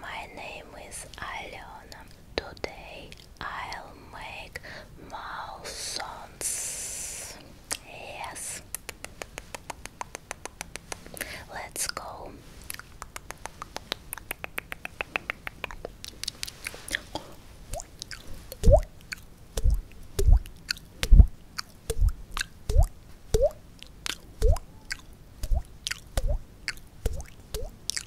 My name is Alena. Today I'll make mouth sounds. Yes. Let's go.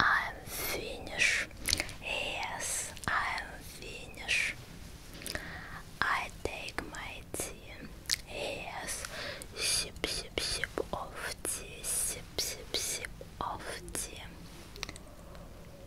I'm finished. Yes, I'm finished. I take my team. Yes, sip, sip, sip of tea. Sip, sip, sip of tea.